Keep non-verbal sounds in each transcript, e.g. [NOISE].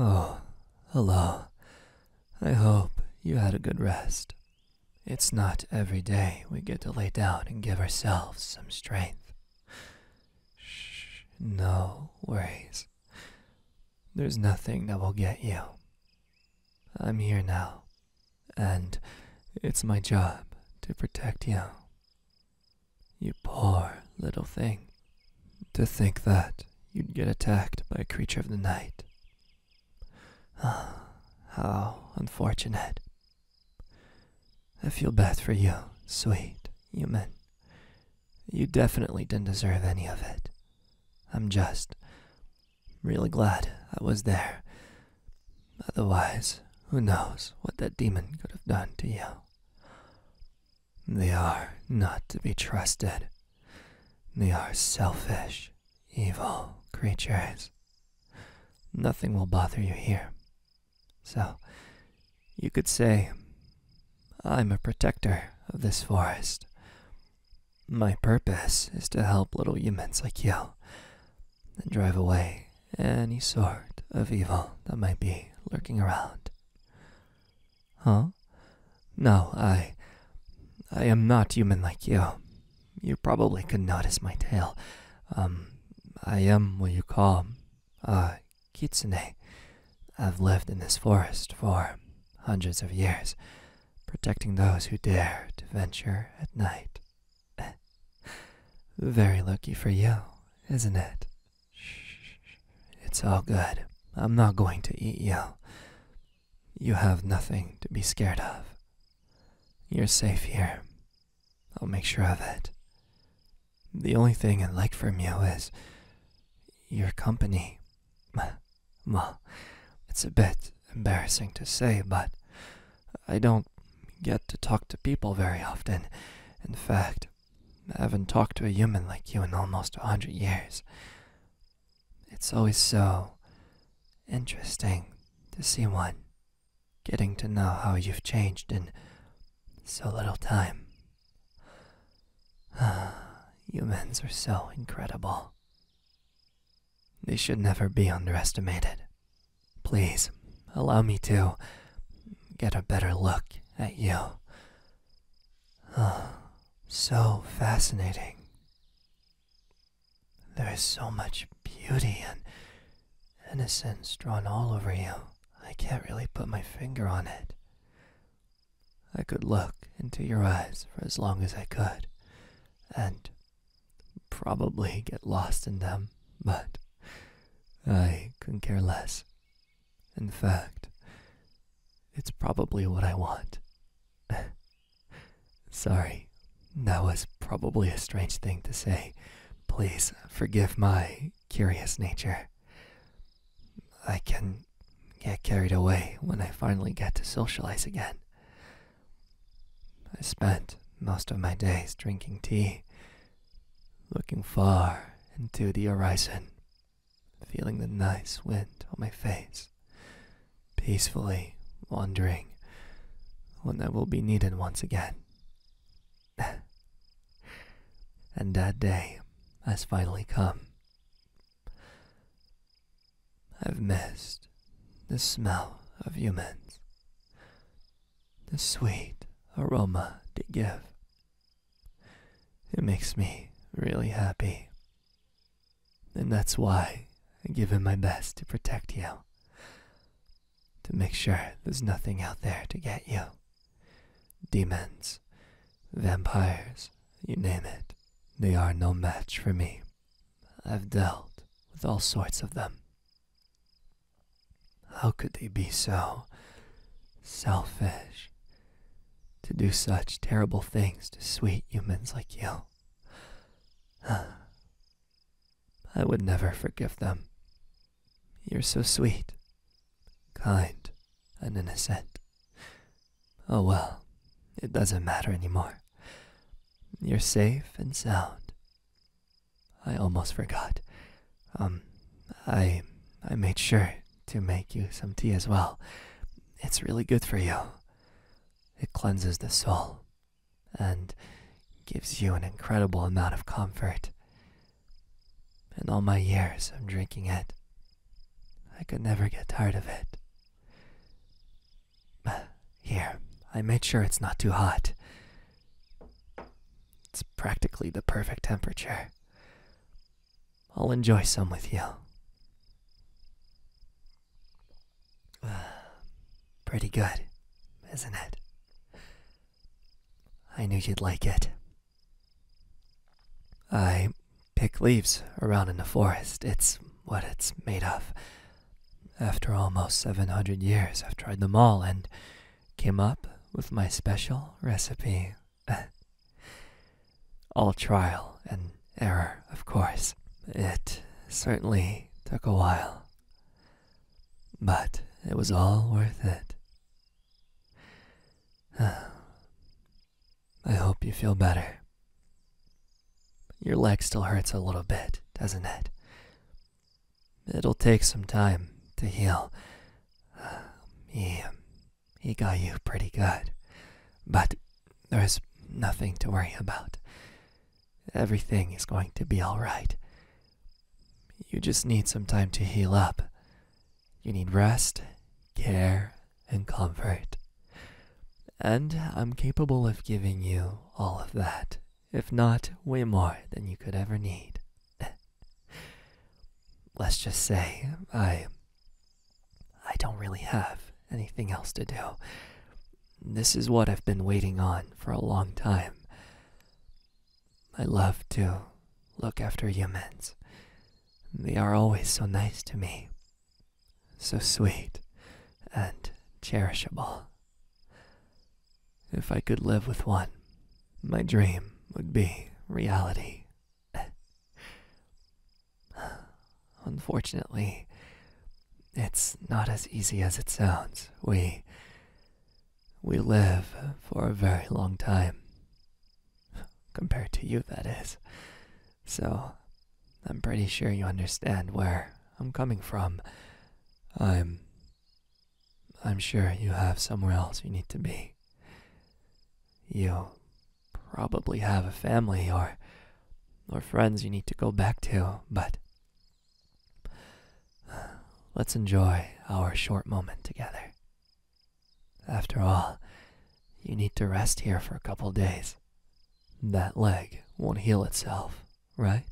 Oh, hello. I hope you had a good rest. It's not every day we get to lay down and give ourselves some strength. Shh, no worries. There's nothing that will get you. I'm here now, and it's my job to protect you. You poor little thing. To think that you'd get attacked by a creature of the night. Ah, how unfortunate. I feel bad for you, sweet human. You definitely didn't deserve any of it. I'm just really glad I was there Otherwise, who knows what that demon could have done to you? They are not to be trusted. They are selfish, evil creatures. Nothing will bother you here. So, you could say, I'm a protector of this forest. My purpose is to help little humans like you and drive away any sort of evil that might be lurking around. Huh? No, I. I am not human like you. You probably could notice my tail. Um, I am what you call a uh, kitsune. I've lived in this forest for hundreds of years, protecting those who dare to venture at night. [LAUGHS] Very lucky for you, isn't it? It's all good. I'm not going to eat you. You have nothing to be scared of. You're safe here. I'll make sure of it. The only thing I'd like from you is your company. [LAUGHS] Well, it's a bit embarrassing to say, but I don't get to talk to people very often. In fact, I haven't talked to a human like you in almost a hundred years. It's always so interesting to see one, getting to know how you've changed in so little time. [SIGHS] Humans are so incredible. They should never be underestimated. Please, allow me to get a better look at you. Oh, so fascinating. There is so much beauty and innocence drawn all over you. I can't really put my finger on it. I could look into your eyes for as long as I could, and probably get lost in them, but I couldn't care less. In fact, it's probably what I want. [LAUGHS] Sorry, that was probably a strange thing to say. Please forgive my curious nature. I can get carried away when I finally get to socialize again. I spent most of my days drinking tea, looking far into the horizon, feeling the nice wind on my face, peacefully wondering when I will be needed once again. [LAUGHS] and that day has finally come. I've missed the smell of humans, the sweet aroma they give. It makes me really happy. And that's why I give it my best to protect you, to make sure there's nothing out there to get you. Demons, vampires, you name it, they are no match for me. I've dealt with all sorts of them. How could they be so selfish to do such terrible things to sweet humans like you? [SIGHS] I would never forgive them. You're so sweet, kind, and innocent. Oh well, it doesn't matter anymore. You're safe and sound. I almost forgot. Um, I I made sure to make you some tea as well. It's really good for you. It cleanses the soul and gives you an incredible amount of comfort. In all my years of drinking it, I could never get tired of it. [SIGHS] Here, I made sure it's not too hot. It's practically the perfect temperature. I'll enjoy some with you. [SIGHS] Pretty good, isn't it? I knew you'd like it. I pick leaves around in the forest. It's what it's made of. After almost 700 years, I've tried them all and came up with my special recipe. [LAUGHS] all trial and error, of course. It certainly took a while, but it was all worth it. [SIGHS] I hope you feel better. Your leg still hurts a little bit, doesn't it? It'll take some time to heal. [SIGHS] he, um, he got you pretty good. But there's nothing to worry about. Everything is going to be alright. You just need some time to heal up. You need rest, care, and comfort. And I'm capable of giving you all of that, if not way more than you could ever need. [LAUGHS] Let's just say I. I don't really have anything else to do. This is what I've been waiting on for a long time. I love to look after humans. They are always so nice to me, so sweet and cherishable. If I could live with one, my dream would be reality. [SIGHS] Unfortunately, it's not as easy as it sounds. We we live for a very long time compared to you that is so I'm pretty sure you understand where I'm coming from. I'm. I'm sure you have somewhere else you need to be. You probably have a family or. or friends you need to go back to, but. Let's enjoy our short moment together. After all, you need to rest here for a couple days that leg won't heal itself, right?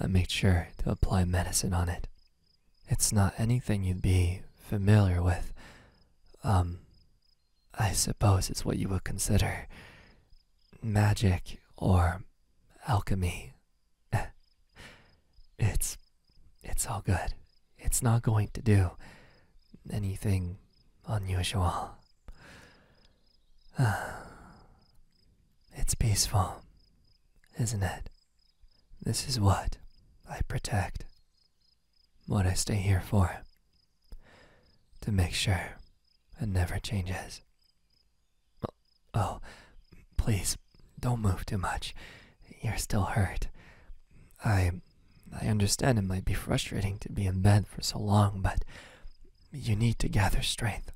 I made sure to apply medicine on it. It's not anything you'd be familiar with. Um, I suppose it's what you would consider magic or alchemy. [LAUGHS] it's, it's all good. It's not going to do anything unusual. [SIGHS] it's peaceful, isn't it? This is what I protect, what I stay here for, to make sure it never changes. Oh, oh please don't move too much. You're still hurt. I I understand it might be frustrating to be in bed for so long, but you need to gather strength.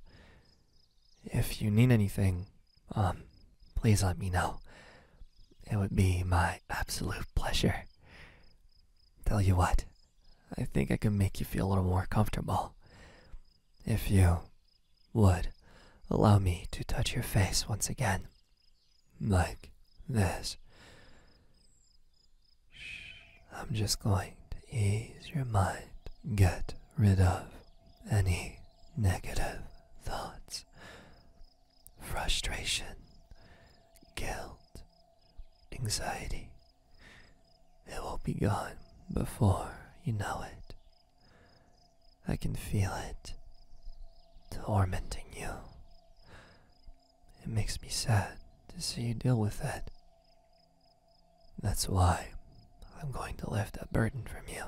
If you need anything, um, please let me know. It would be my absolute pleasure. Tell you what, I think I can make you feel a little more comfortable. If you would allow me to touch your face once again like this. I'm just going to ease your mind, get rid of any negative thoughts, frustration, guilt, anxiety. It will be gone before you know it. I can feel it tormenting you, it makes me sad to see you deal with that. That's why I'm going to lift that burden from you.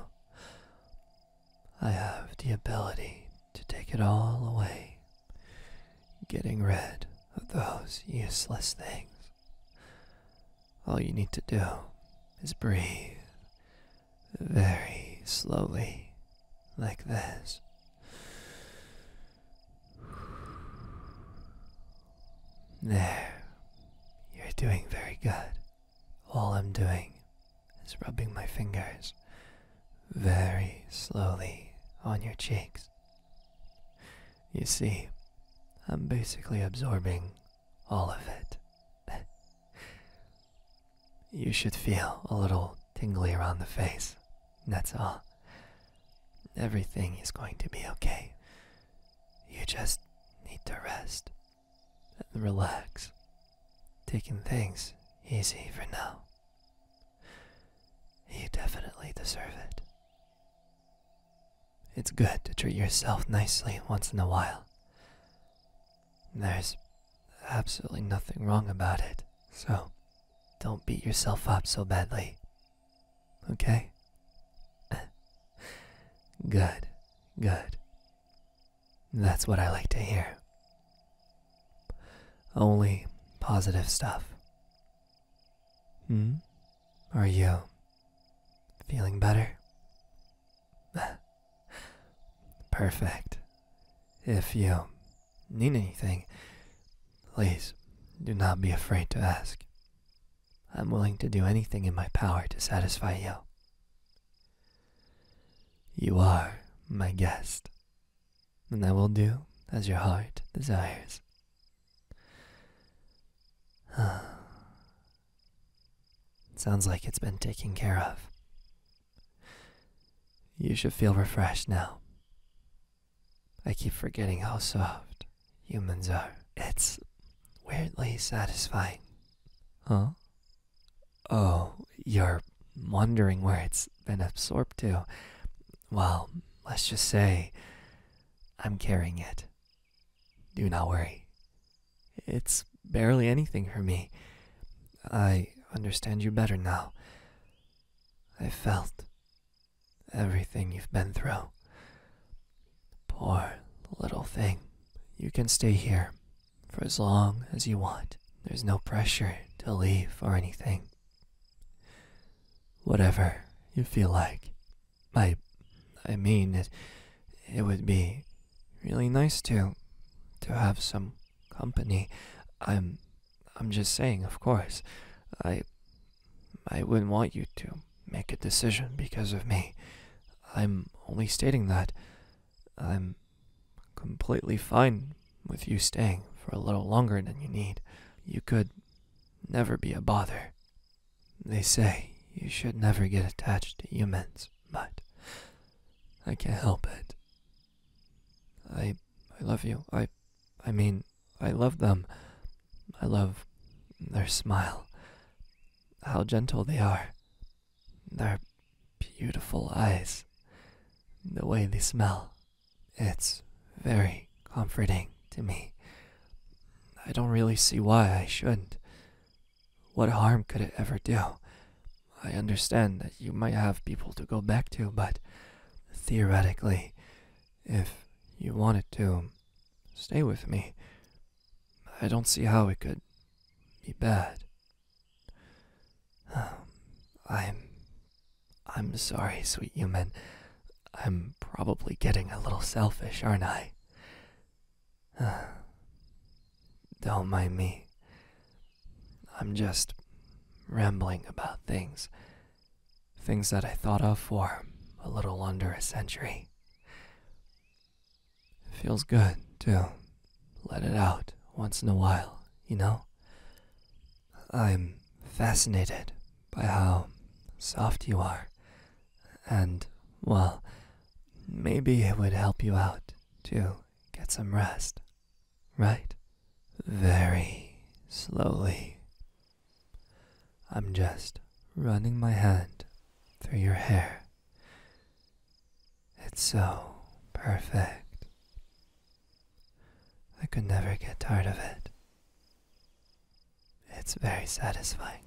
I have the ability to take it all away, getting rid of those useless things. All you need to do is breathe very slowly, like this. [SIGHS] There. You're doing very good. All I'm doing is rubbing my fingers very slowly on your cheeks. You see, I'm basically absorbing all of it. [LAUGHS] You should feel a little tingly around the face. That's all. Everything is going to be okay. You just need to rest and relax, taking things easy for now. You definitely deserve it. It's good to treat yourself nicely once in a while. There's absolutely nothing wrong about it, so don't beat yourself up so badly. Okay? [LAUGHS] good, good. That's what I like to hear. Only positive stuff. Hmm? Are you feeling better? [LAUGHS] Perfect. If you need anything, please do not be afraid to ask. I'm willing to do anything in my power to satisfy you. You are my guest, and I will do as your heart desires. [SIGHS] Sounds like it's been taken care of. You should feel refreshed now. I keep forgetting how soft humans are. It's weirdly satisfying. Huh? Oh, you're wondering where it's been absorbed to. Well, let's just say I'm carrying it. Do not worry. It's barely anything for me. I understand you better now. I felt everything you've been through. Poor little thing. You can stay here for as long as you want. There's no pressure to leave or anything. Whatever you feel like. I I mean it it would be really nice to to have some company. I'm I'm just saying, of course. I I wouldn't want you to make a decision because of me. I'm only stating that I'm completely fine with you staying for a little longer than you need. You could never be a bother. They say you should never get attached to humans, but I can't help it. I I love you. I I mean, I love them. I love their smile. How gentle they are. Their beautiful eyes. The way they smell. It's very comforting to me. I don't really see why I shouldn't. What harm could it ever do? I understand that you might have people to go back to, but theoretically, if you wanted to stay with me, I don't see how it could be bad. Um, I'm. I'm sorry, sweet human. I'm probably getting a little selfish, aren't I? [SIGHS] Don't mind me. I'm just rambling about things. Things that I thought of for a little under a century. Feels good to let it out once in a while, you know? I'm fascinated by how soft you are. And, well, maybe it would help you out, too get some rest, right? Very slowly. I'm just running my hand through your hair. It's so perfect. I could never get tired of it. It's very satisfying.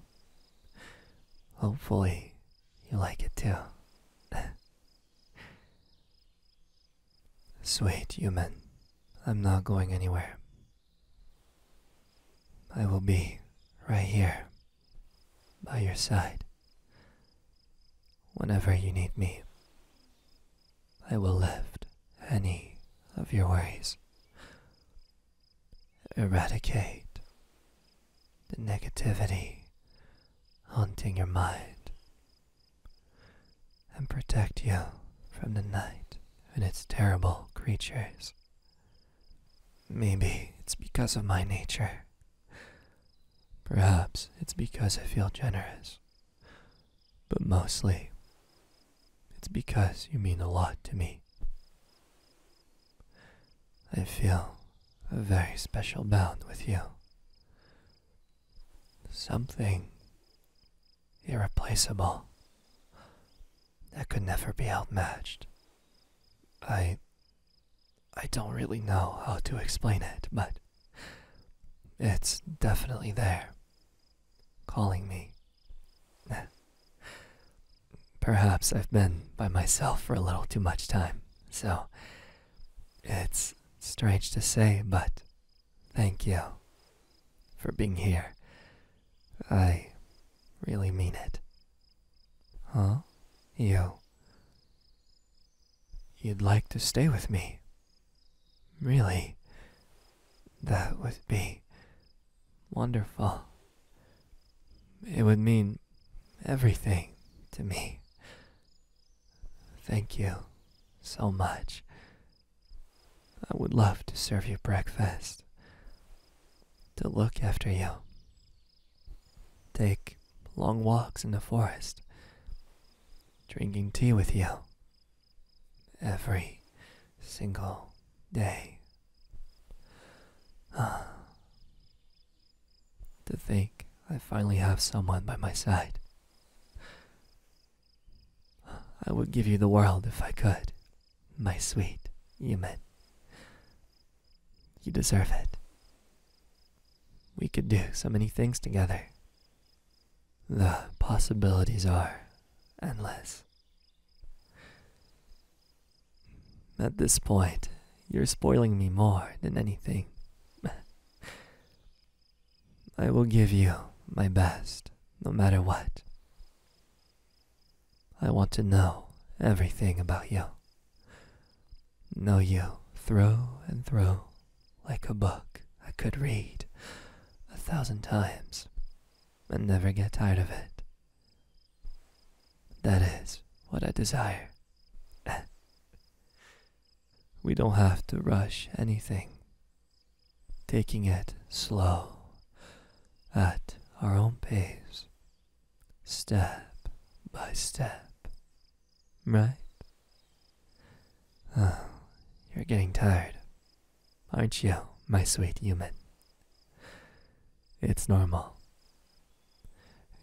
Hopefully, you like it too. [LAUGHS] Sweet human, I'm not going anywhere. I will be right here by your side. Whenever you need me, I will lift any of your worries, eradicate the negativity haunting your mind and protect you from the night and its terrible creatures. Maybe it's because of my nature. Perhaps it's because I feel generous. But mostly, it's because you mean a lot to me. I feel a very special bond with you. Something irreplaceable that could never be outmatched. I. I don't really know how to explain it, but it's definitely there, calling me. Perhaps I've been by myself for a little too much time, so it's strange to say, but thank you for being here. I really mean it. Huh? You. You'd like to stay with me? Really? That would be wonderful. It would mean everything to me. Thank you so much. I would love to serve you breakfast, to look after you, take long walks in the forest, drinking tea with you every single day [SIGHS] to think I finally have someone by my side. I would give you the world if I could, my sweet Yumin. You deserve it. We could do so many things together. The possibilities are endless. At this point, you're spoiling me more than anything. I will give you my best, no matter what. I want to know everything about you. Know you throw and throw, like a book I could read a thousand times and never get tired of it. That is what I desire. [LAUGHS] we don't have to rush anything, taking it slow at our own pace, step by step. Right? Oh, you're getting tired, aren't you, my sweet human? It's normal.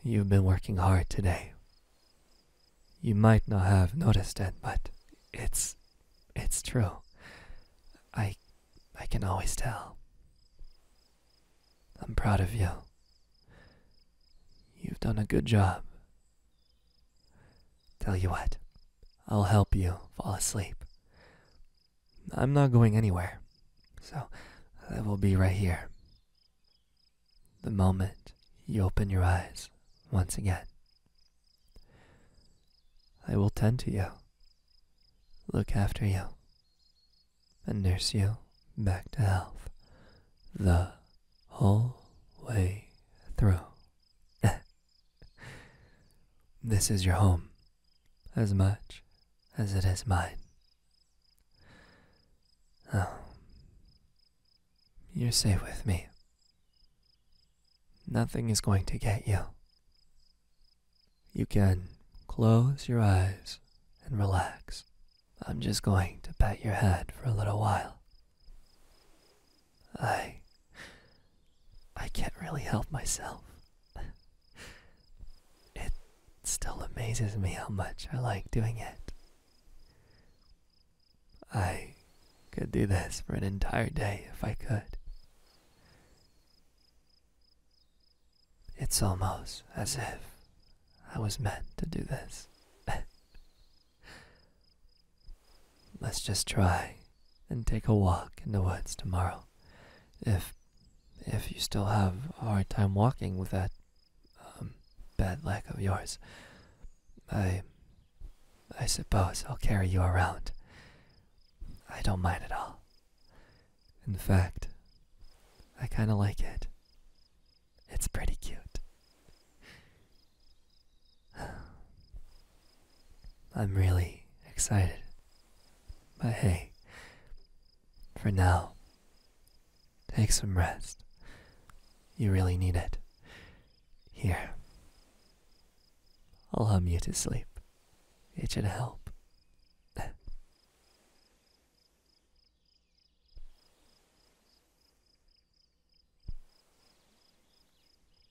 You've been working hard today. You might not have noticed it, but it's it's true. I I can always tell. I'm proud of you. You've done a good job. Tell you what, I'll help you fall asleep. I'm not going anywhere, so I will be right here. The moment you open your eyes once again, I will tend to you, look after you, and nurse you back to health the whole way through. [LAUGHS] this is your home, as much as it is mine. Oh, you're safe with me. Nothing is going to get you. You can close your eyes and relax. I'm just going to pat your head for a little while. I I can't really help myself. [LAUGHS] it still amazes me how much I like doing it. I could do this for an entire day if I could. It's almost as if I was meant to do this. [LAUGHS] Let's just try and take a walk in the woods tomorrow. If if you still have a hard time walking with that um, bad leg of yours, I I suppose I'll carry you around. I don't mind at all. In fact, I kind of like it. It's pretty cute. [SIGHS] [SIGHS] I'm really excited. But hey, for now, take some rest. You really need it. Here, I'll hum you to sleep. It should help.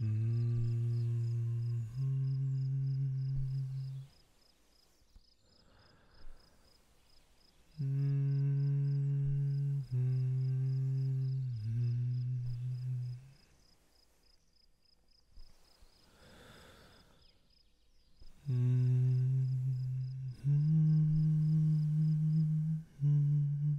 Mm -hmm. Mm -hmm. -hmm.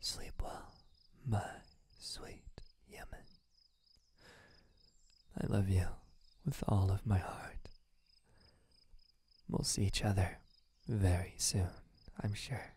Sleep well, my sweet Yemen. I love you with all of my heart. We'll see each other very soon, I'm sure.